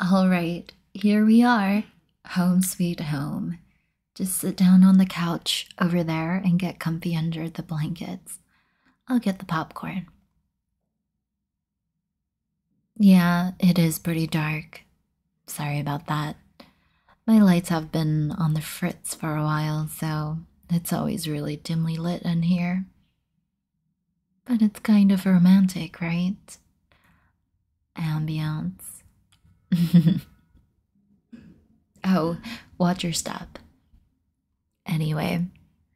All right, here we are. Home sweet home. Just sit down on the couch over there and get comfy under the blankets. I'll get the popcorn. Yeah, it is pretty dark. Sorry about that. My lights have been on the fritz for a while, so it's always really dimly lit in here. But it's kind of romantic, right? Ambience. oh, watch your step. Anyway,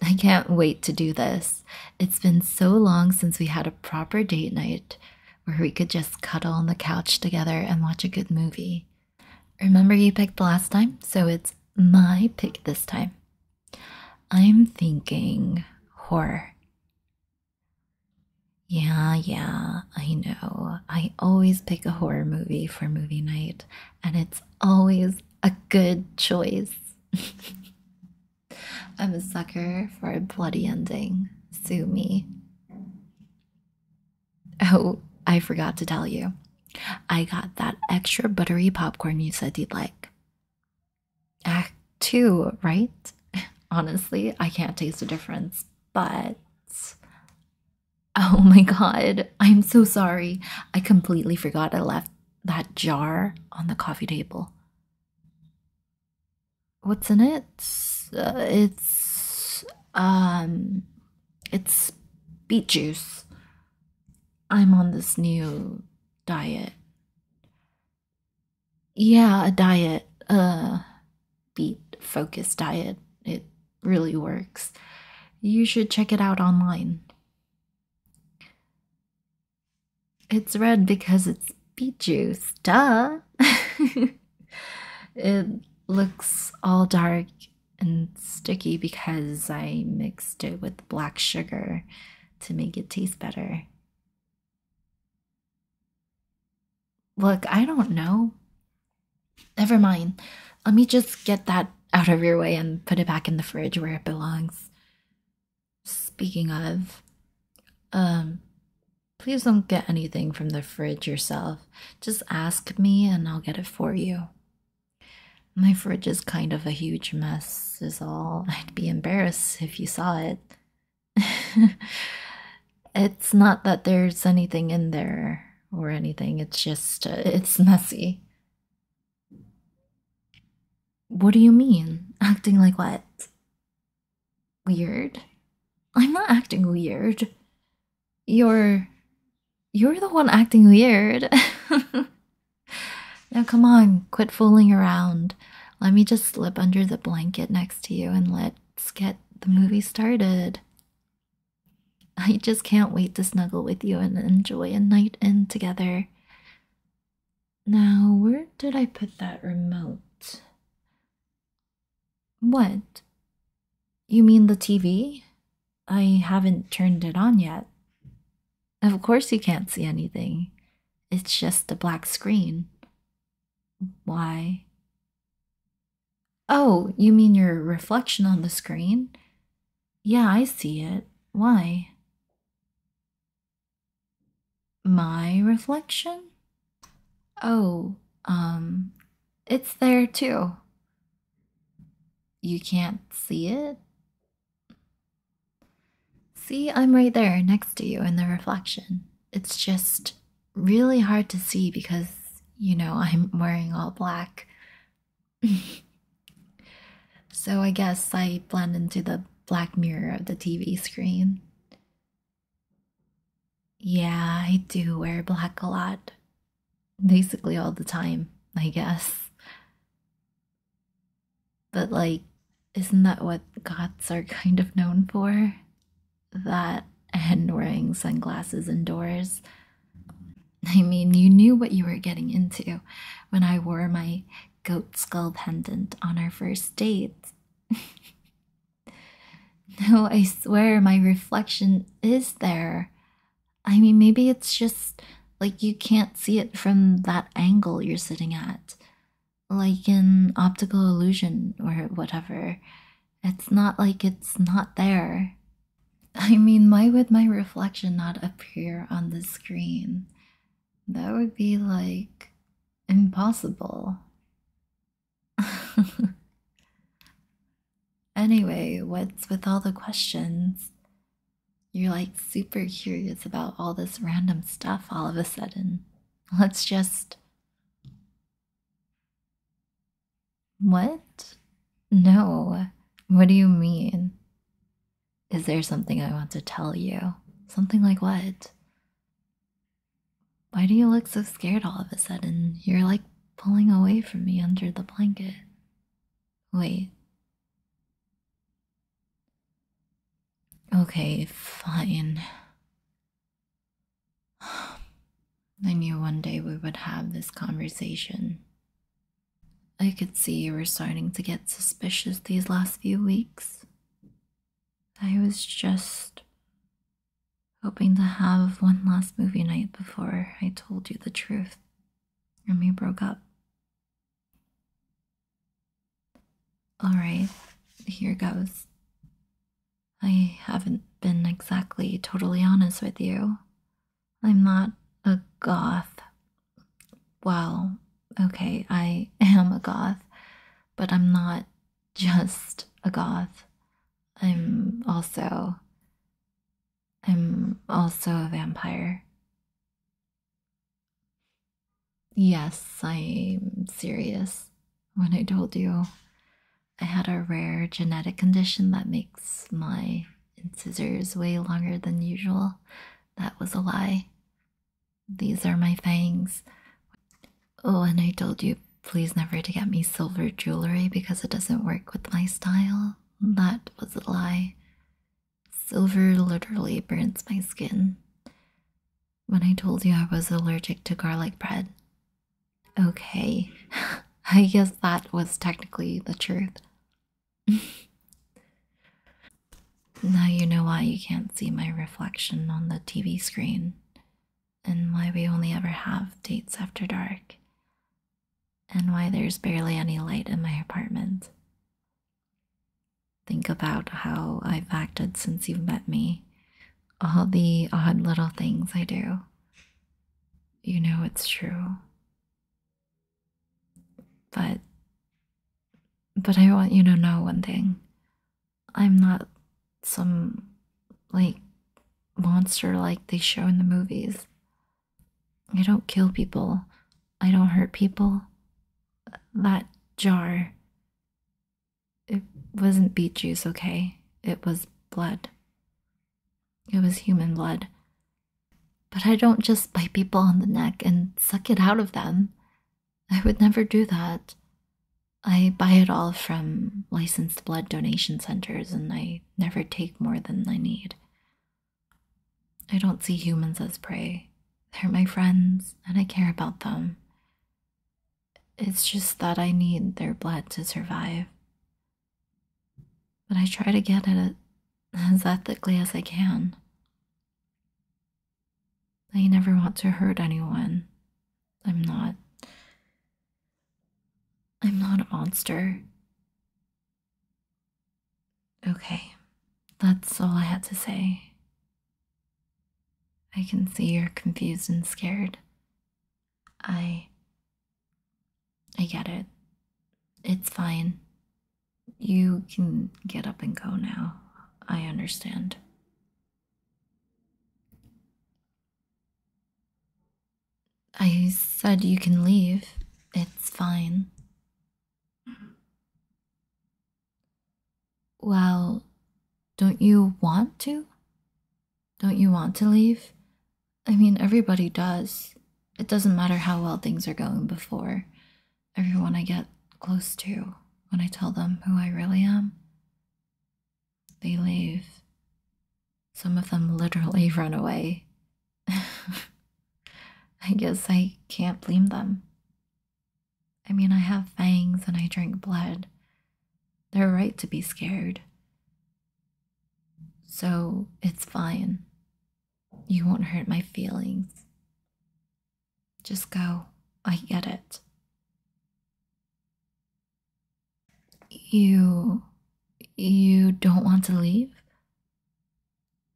I can't wait to do this. It's been so long since we had a proper date night where we could just cuddle on the couch together and watch a good movie. Remember you picked the last time, so it's my pick this time. I'm thinking horror. Yeah, yeah, I know. I always pick a horror movie for movie night, and it's always a good choice. I'm a sucker for a bloody ending. Sue me. Oh, I forgot to tell you. I got that extra buttery popcorn you said you'd like. Act two, right? Honestly, I can't taste the difference, but oh my god, I'm so sorry. I completely forgot I left that jar on the coffee table. What's in it? Uh, it's um it's beet juice. I'm on this new diet. Yeah, a diet, Uh, beet focused diet. It really works. You should check it out online. It's red because it's beet juice, duh. it looks all dark and sticky because I mixed it with black sugar to make it taste better. Look, I don't know. Never mind. Let me just get that out of your way and put it back in the fridge where it belongs. Speaking of, um, please don't get anything from the fridge yourself. Just ask me and I'll get it for you. My fridge is kind of a huge mess, is all. I'd be embarrassed if you saw it. it's not that there's anything in there or anything, it's just, uh, it's messy. What do you mean? Acting like what? Weird? I'm not acting weird. You're you're the one acting weird. now, come on, quit fooling around. Let me just slip under the blanket next to you and let's get the movie started. I just can't wait to snuggle with you and enjoy a night in together. Now, where did I put that remote? What? You mean the TV? I haven't turned it on yet. Of course, you can't see anything. It's just a black screen. Why? Oh, you mean your reflection on the screen? Yeah, I see it. Why? My reflection? Oh, um, it's there too. You can't see it? See, I'm right there next to you in the reflection. It's just really hard to see because, you know, I'm wearing all black. so I guess I blend into the black mirror of the TV screen. Yeah, I do wear black a lot basically all the time, I guess. But, like, isn't that what goths are kind of known for? That and wearing sunglasses indoors. I mean, you knew what you were getting into when I wore my goat skull pendant on our first date. no, I swear my reflection is there. I mean, maybe it's just like you can't see it from that angle you're sitting at, like an optical illusion or whatever. It's not like it's not there. I mean, why would my reflection not appear on the screen? That would be like impossible. Anyway, what's with all the questions? You're like super curious about all this random stuff all of a sudden. Let's just. What? No. What do you mean? Is there something I want to tell you? Something like what? Why do you look so scared all of a sudden? You're like pulling away from me under the blanket. Wait. Okay, fine. I knew one day we would have this conversation. I could see you were starting to get suspicious these last few weeks. I was just hoping to have one last movie night before I told you the truth and we broke up. Alright, here goes. I haven't been exactly totally honest with you. I'm not a goth. Well, okay, I am a goth, but I'm not just a goth. I'm also I'm also a vampire. Yes, I'm serious. When I told you I had a rare genetic condition that makes my incisors way longer than usual, that was a lie. These are my fangs. Oh, and I told you please never to get me silver jewelry because it doesn't work with my style. That was a lie. Silver literally burns my skin. When I told you I was allergic to garlic bread. Okay, I guess that was technically the truth. now you know why you can't see my reflection on the TV screen and why we only ever have dates after dark, and why there's barely any light in my apartment. Think about how I've acted since you've met me, all the odd little things I do. You know it's true. But but I want you to know one thing. I'm not some like monster like they show in the movies. I don't kill people. I don't hurt people. That jar. It wasn't beet juice, okay? It was blood. It was human blood. But I don't just bite people on the neck and suck it out of them. I would never do that. I buy it all from licensed blood donation centers and I never take more than I need. I don't see humans as prey. They're my friends and I care about them. It's just that I need their blood to survive. But I try to get it as ethically as I can. I never want to hurt anyone, I'm not. I'm not a monster. Okay, that's all I had to say. I can see you're confused and scared. I. I get it. It's fine. You can get up and go now. I understand. I said you can leave. It's fine. Well, don't you want to? Don't you want to leave? I mean, everybody does. It doesn't matter how well things are going before. Everyone I get close to, when I tell them who I really am, they leave. Some of them literally run away. I guess I can't blame them. I mean, I have fangs and I drink blood. They're right to be scared. So it's fine. You won't hurt my feelings. Just go. I get it. You. You don't want to leave?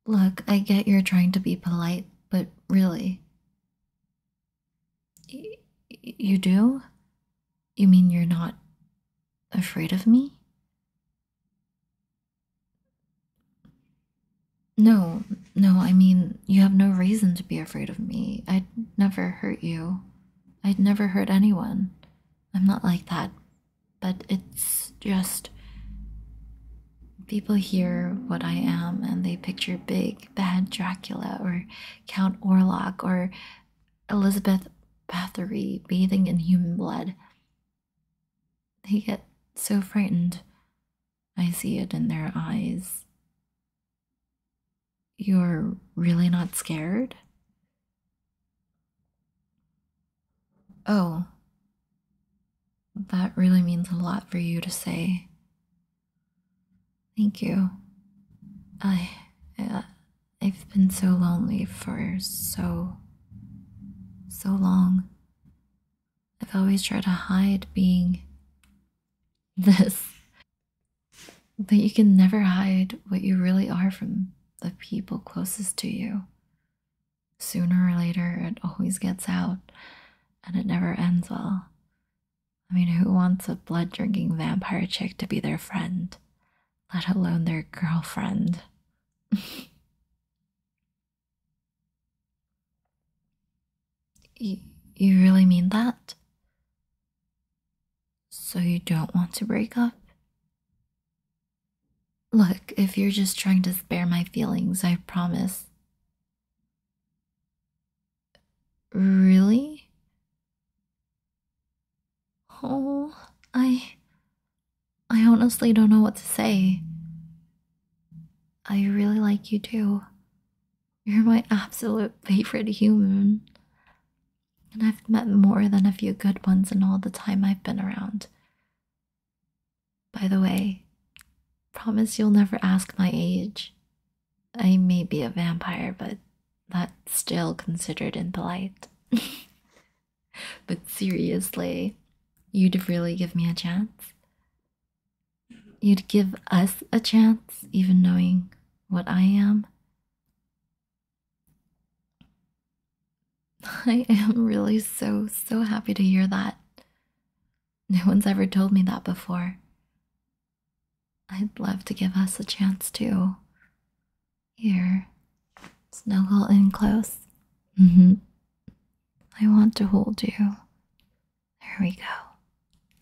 Look, I get you're trying to be polite, but really. you do? You mean you're not afraid of me? No, no, I mean, you have no reason to be afraid of me. I'd never hurt you. I'd never hurt anyone. I'm not like that. But it's just. People hear what I am and they picture big, bad Dracula or Count Orlok or Elizabeth Bathory bathing in human blood. They get so frightened. I see it in their eyes. You're really not scared? Oh, that really means a lot for you to say. Thank you. I, I uh, I've been so lonely for so so long. I've always tried to hide being this. that you can never hide what you really are from the people closest to you. Sooner or later, it always gets out, and it never ends well. I mean, who wants a blood drinking vampire chick to be their friend, let alone their girlfriend? Y you really mean that? So you don't want to break up? Look, if you're just trying to spare my feelings, I promise. Really? Oh, I. I honestly don't know what to say. I really like you too. You're my absolute favorite human. And I've met more than a few good ones in all the time I've been around. By the way, promise you'll never ask my age. I may be a vampire, but that's still considered impolite. but seriously, you'd really give me a chance? You'd give us a chance, even knowing what I am. I am really so, so happy to hear that. No one's ever told me that before. I'd love to give us a chance too. Here, snuggle in close. Mm-hmm. I want to hold you. There we go.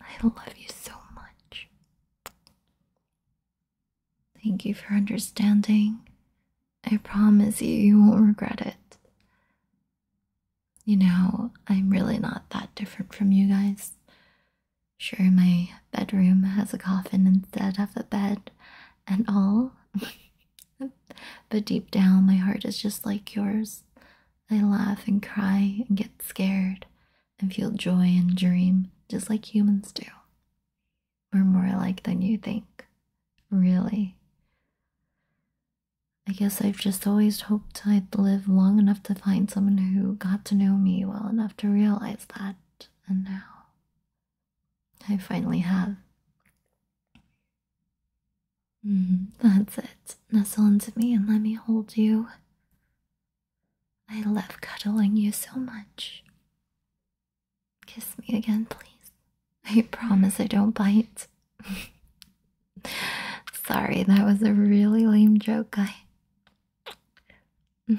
I love you so much. Thank you for understanding. I promise you, you won't regret it. You know, I'm really not that different from you guys. Sure, my bedroom has a coffin instead of a bed and all. But deep down, my heart is just like yours. I laugh and cry and get scared and feel joy and dream just like humans do. We're more alike than you think, really. I guess I've just always hoped I'd live long enough to find someone who got to know me well enough to realize that, and now I finally have. Mm-hmm. that's it. Nestle into me and let me hold you. I love cuddling you so much. Kiss me again, please. I promise I don't bite. Sorry, that was a really lame joke, guy.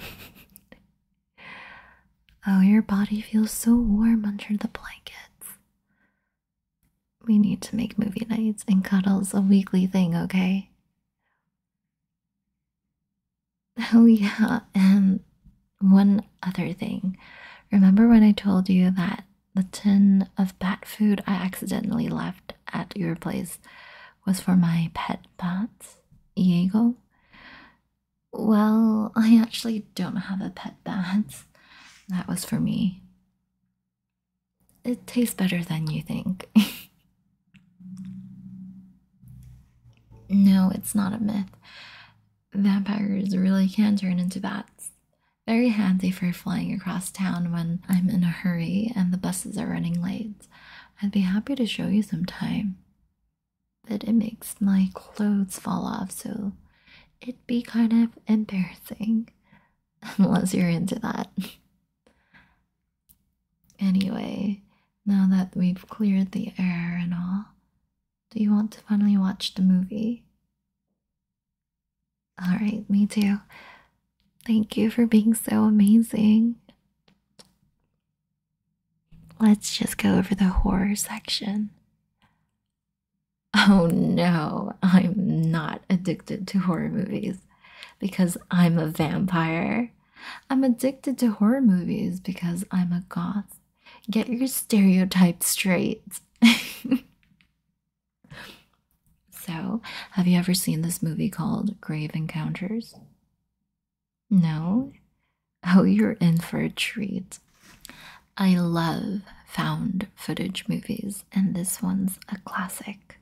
oh, your body feels so warm under the blankets. We need to make movie nights and cuddles a weekly thing, okay? Oh, yeah, and one other thing. Remember when I told you that the tin of bat food I accidentally left at your place was for my pet bats, Diego? Well, I actually don't have a pet bat. That was for me. It tastes better than you think. no, it's not a myth. Vampires really can turn into bats. Very handy for flying across town when I'm in a hurry and the buses are running late. I'd be happy to show you sometime but it makes my clothes fall off, so it'd be kind of embarrassing. Unless you're into that. anyway, now that we've cleared the air and all, do you want to finally watch the movie? Alright, me too. Thank you for being so amazing. Let's just go over the horror section. Oh no, I'm not addicted to horror movies because I'm a vampire. I'm addicted to horror movies because I'm a goth. Get your stereotypes straight. so, have you ever seen this movie called Grave Encounters? No? Oh, you're in for a treat. I love found footage movies, and this one's a classic.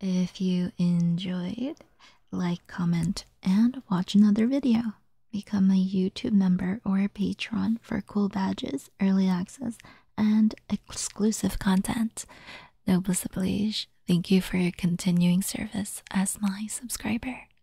If you enjoyed, like, comment, and watch another video. Become a YouTube member or a patron for cool badges, early access, and exclusive content. Noble oblige, thank you for your continuing service as my subscriber.